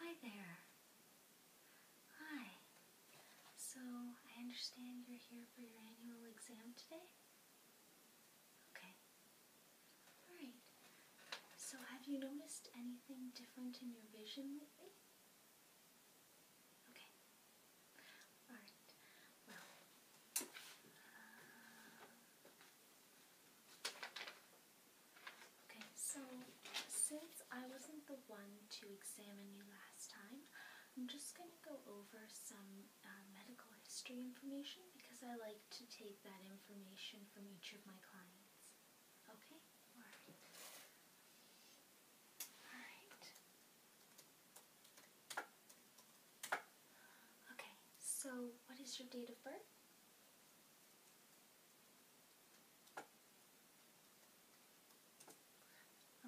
Hi there. Hi. So, I understand you're here for your annual exam today? Okay. Alright. So, have you noticed anything different in your vision lately? Okay. All right. Well. okay. So since I wasn't the one to examine you last time, I'm just gonna go over some uh, medical history information because I like to take that information from each of my clients. Okay, alright. Alright. Okay, so what is your date of birth?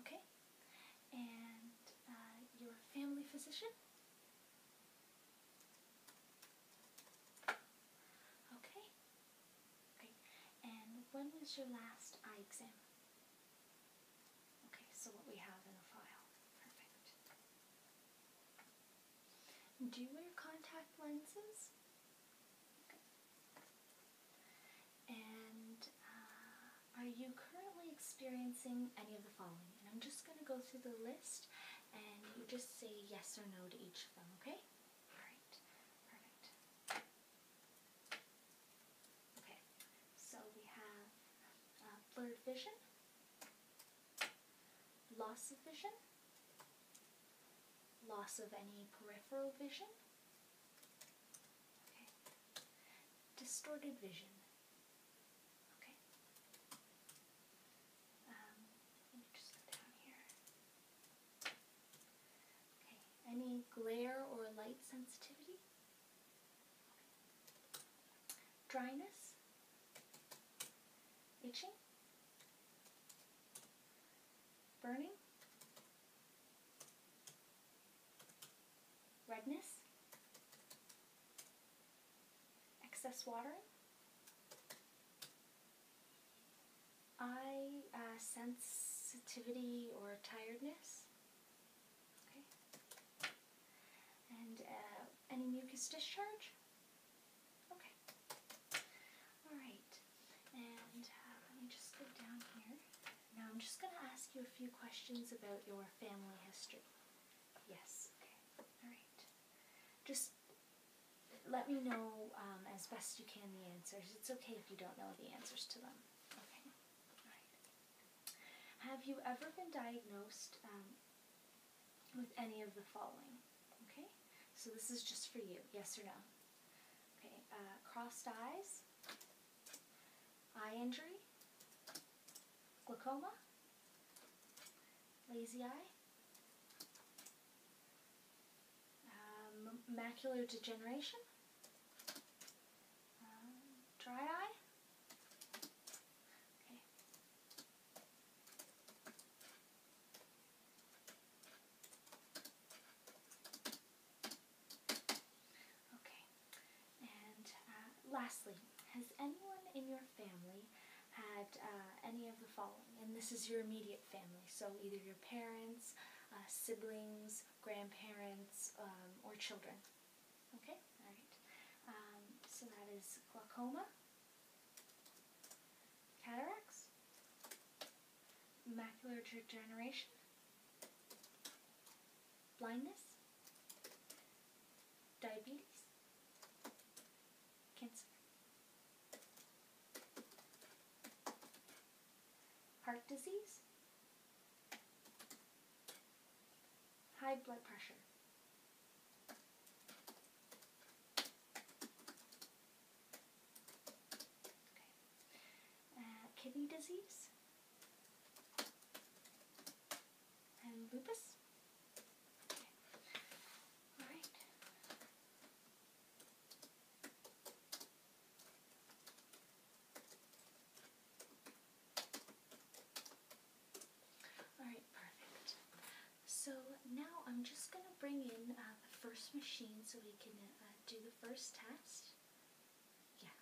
Okay, and uh, your family physician? Okay, Okay, and when was your last eye exam? Okay, so what we have in the file. Perfect. Do you wear contact lenses? Okay. And uh, are you currently experiencing any of the following? And I'm just going to go through the list and you just say yes or no to each of them, okay? Alright, perfect. Okay, so we have uh, blurred vision, loss of vision, loss of any peripheral vision, okay. distorted vision. Okay. Um, any glare or light sensitivity? Dryness? Itching? Burning? Redness? Excess watering? eye uh, sensitivity or tiredness. Okay. And uh, any mucus discharge? Okay. Alright. And uh, let me just go down here. Now I'm just going to ask you a few questions about your family history. Yes. Okay. Alright. Just let me know um, as best you can the answers. It's okay if you don't know the answers to them. Okay? Alright. Have you ever been diagnosed um, with any of the following? Okay? So this is just for you, yes or no. Okay, uh, crossed eyes, eye injury, glaucoma, lazy eye, um, macular degeneration, um, dry eye. Okay. Okay. And uh, lastly, has anyone in your family had uh, any of the following, and this is your immediate family, so either your parents, uh, siblings, grandparents, um, or children. Okay, alright. Um, so that is glaucoma, cataracts, macular degeneration, blindness, diabetes, Cancer. Heart disease. High blood pressure. Uh, kidney disease. And lupus. All right. perfect. So now I'm just going to bring in uh, the first machine so we can uh, do the first test. Yeah,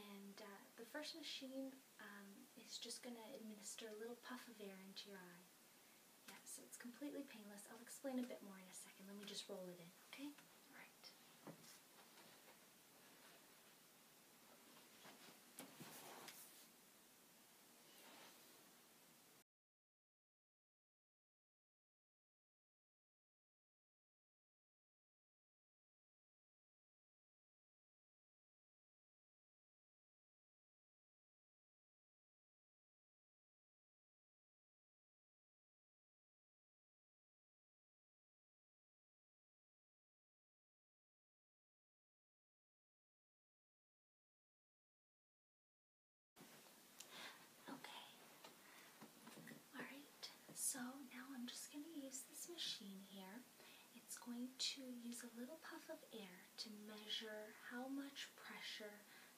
and uh, the first machine um, is just going to administer a little puff of air into your eye. Yeah, so it's completely painless. I'll explain a bit more in a second. Let me just roll it in, okay? All right. Okay. Alright, so now I'm just going to use this machine here. It's going to use a little puff of air to measure how much pressure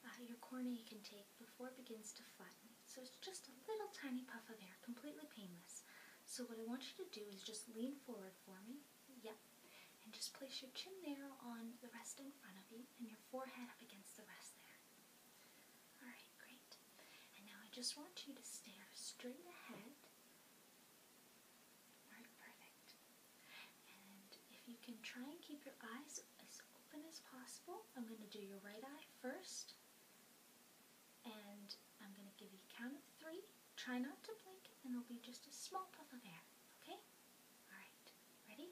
uh, your cornea can take before it begins to flatten. So it's just a little tiny puff of air, completely painless. So what I want you to do is just lean forward for me. Yep. And just place your chin there on the rest in front of you and your forehead up against the rest there. Alright, great. And now I just want you to stare straight ahead. Alright, perfect. And if you can try and keep your eyes as open as possible, I'm going to do your right eye first. And I'm going to give you a count of three. Try not to blink, and there'll be just a small puff of air. Okay? Alright. Ready?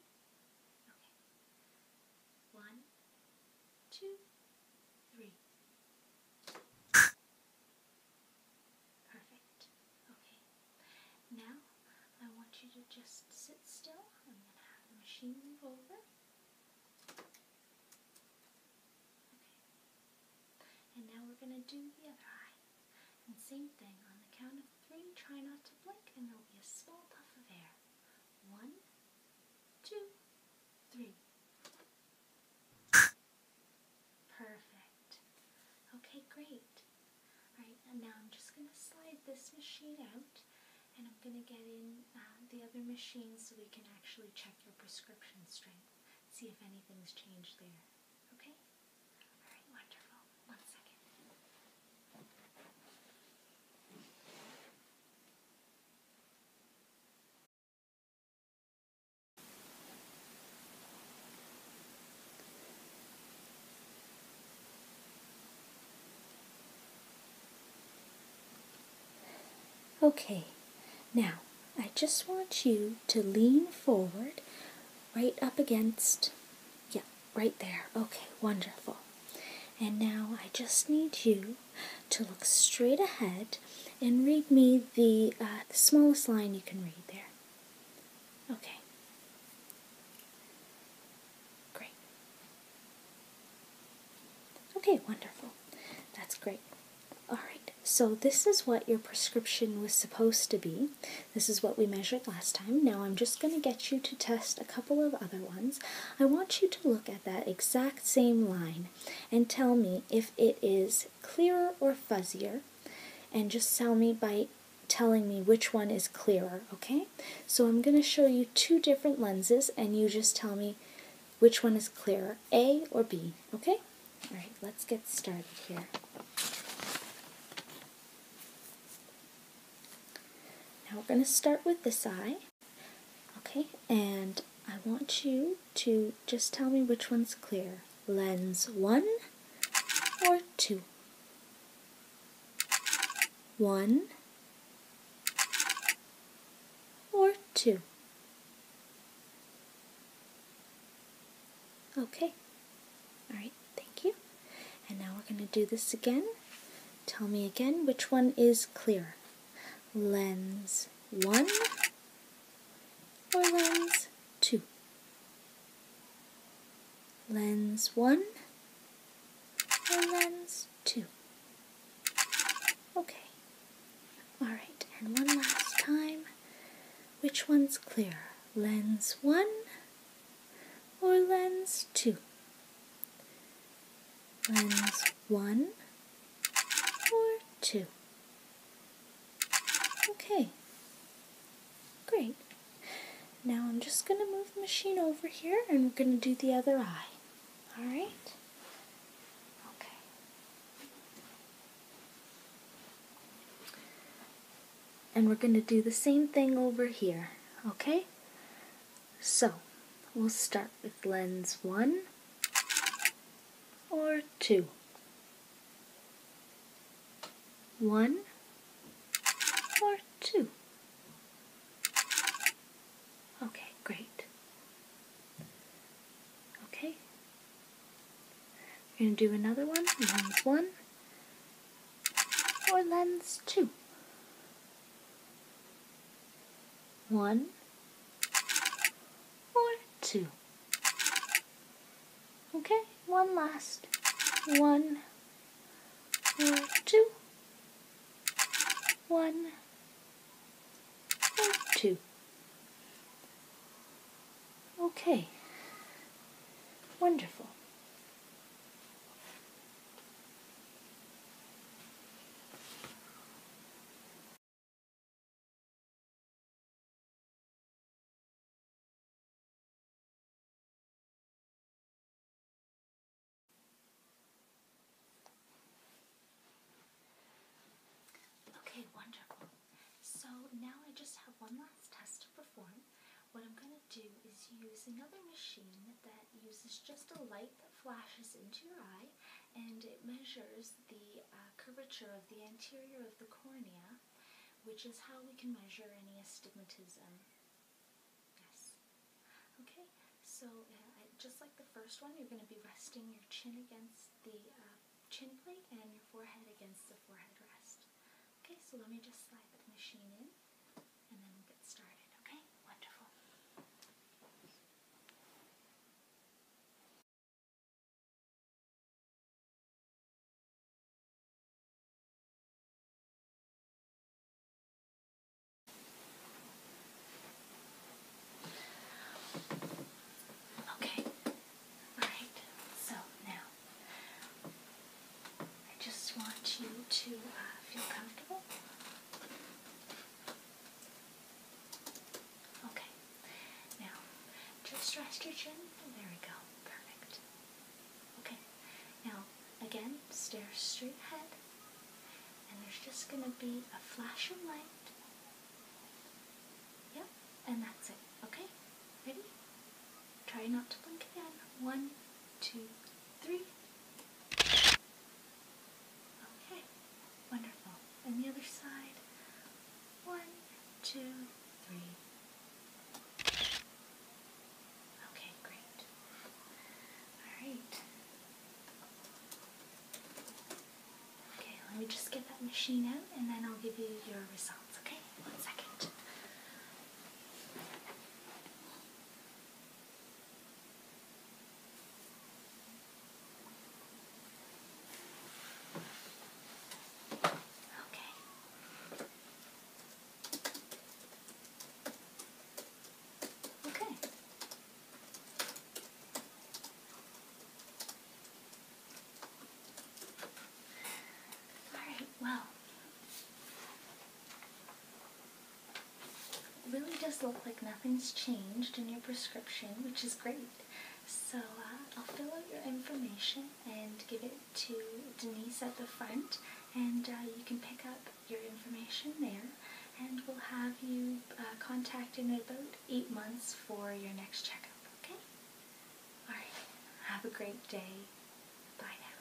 Okay. One, two, three. Perfect. Okay. Now I want you to just sit still. I'm going to have the machine move over. Okay. And now we're going to do the other eye. And same thing. On the count of three, try not to blink, and there'll be a small puff of air. One, two, three. Perfect. Okay, great. Alright, and now I'm just going to slide this machine out and I'm going to get in um, the other machine so we can actually check your prescription strength, see if anything's changed there. Okay? Alright, wonderful. One second. Okay, now I just want you to lean forward right up against, yeah, right there. Okay, wonderful. And now I just need you to look straight ahead and read me the, uh, smallest line you can read there. Okay. Great. Okay, wonderful. That's great. Alright, so this is what your prescription was supposed to be. This is what we measured last time. Now I'm just going to get you to test a couple of other ones. I want you to look at that exact same line and tell me if it is clearer or fuzzier. And just tell me by telling me which one is clearer, okay? So I'm going to show you two different lenses and you just tell me which one is clearer, A or B, okay? All right, let's get started here. Now we're going to start with this eye, okay? And I want you to just tell me which one's clearer lens 1 or 2. 1 or 2. Okay. Alright, thank you. And now we're going to do this again. Tell me again which one is clearer. Lens 1 or lens 2 lens 1 and lens 2. Okay. Alright, and one last time. Which one's clearer, lens 1 or lens 2? Lens 1 or 2? Okay, great. Now I'm just going to move the machine over here and we're going to do the other eye. Alright? Okay. And we're going to do the same thing over here. Okay? So, we'll start with lens 1 or 2. One or two? Okay, great. Okay. We're going to do another one, lens one or lens two. One or two. Okay, one last. One, two, one, two. Okay, wonderful. Okay, wonderful. So now I just have one last test to perform. What I'm going to do is use another machine that uses just a light that flashes into your eye and it measures the uh, curvature of the anterior of the cornea which is how we can measure any astigmatism. Yes. Okay, so uh, just like the first one, you're going to be resting your chin against the uh, chin plate and your forehead against the forehead rest. Okay, so let me just slide the machine in and then we'll get started. Okay, wonderful. Okay, right, so now I just want you to uh, feel comfortable. Okay. Now, just rest your chin. There we go. Perfect. Okay. Now, again, stare straight ahead. And there's just going to be a flash of light. Yep. And that's it. Okay? Ready? Try not to blink again. One, two, three. Okay. Wonderful. And the other side. One, two, three. Okay, great. Alright. Okay, let me just get that machine out and then I'll give you your results, okay? One second. Okay. Okay. All right, well. It really does look like nothing's changed in your prescription, which is great. So uh, I'll fill out your information and give it to Denise at the front, and uh, you can pick up your information there. And we'll have you uh, contacting about eight months for your next checkup. Okay? All right. Have a great day. Bye now.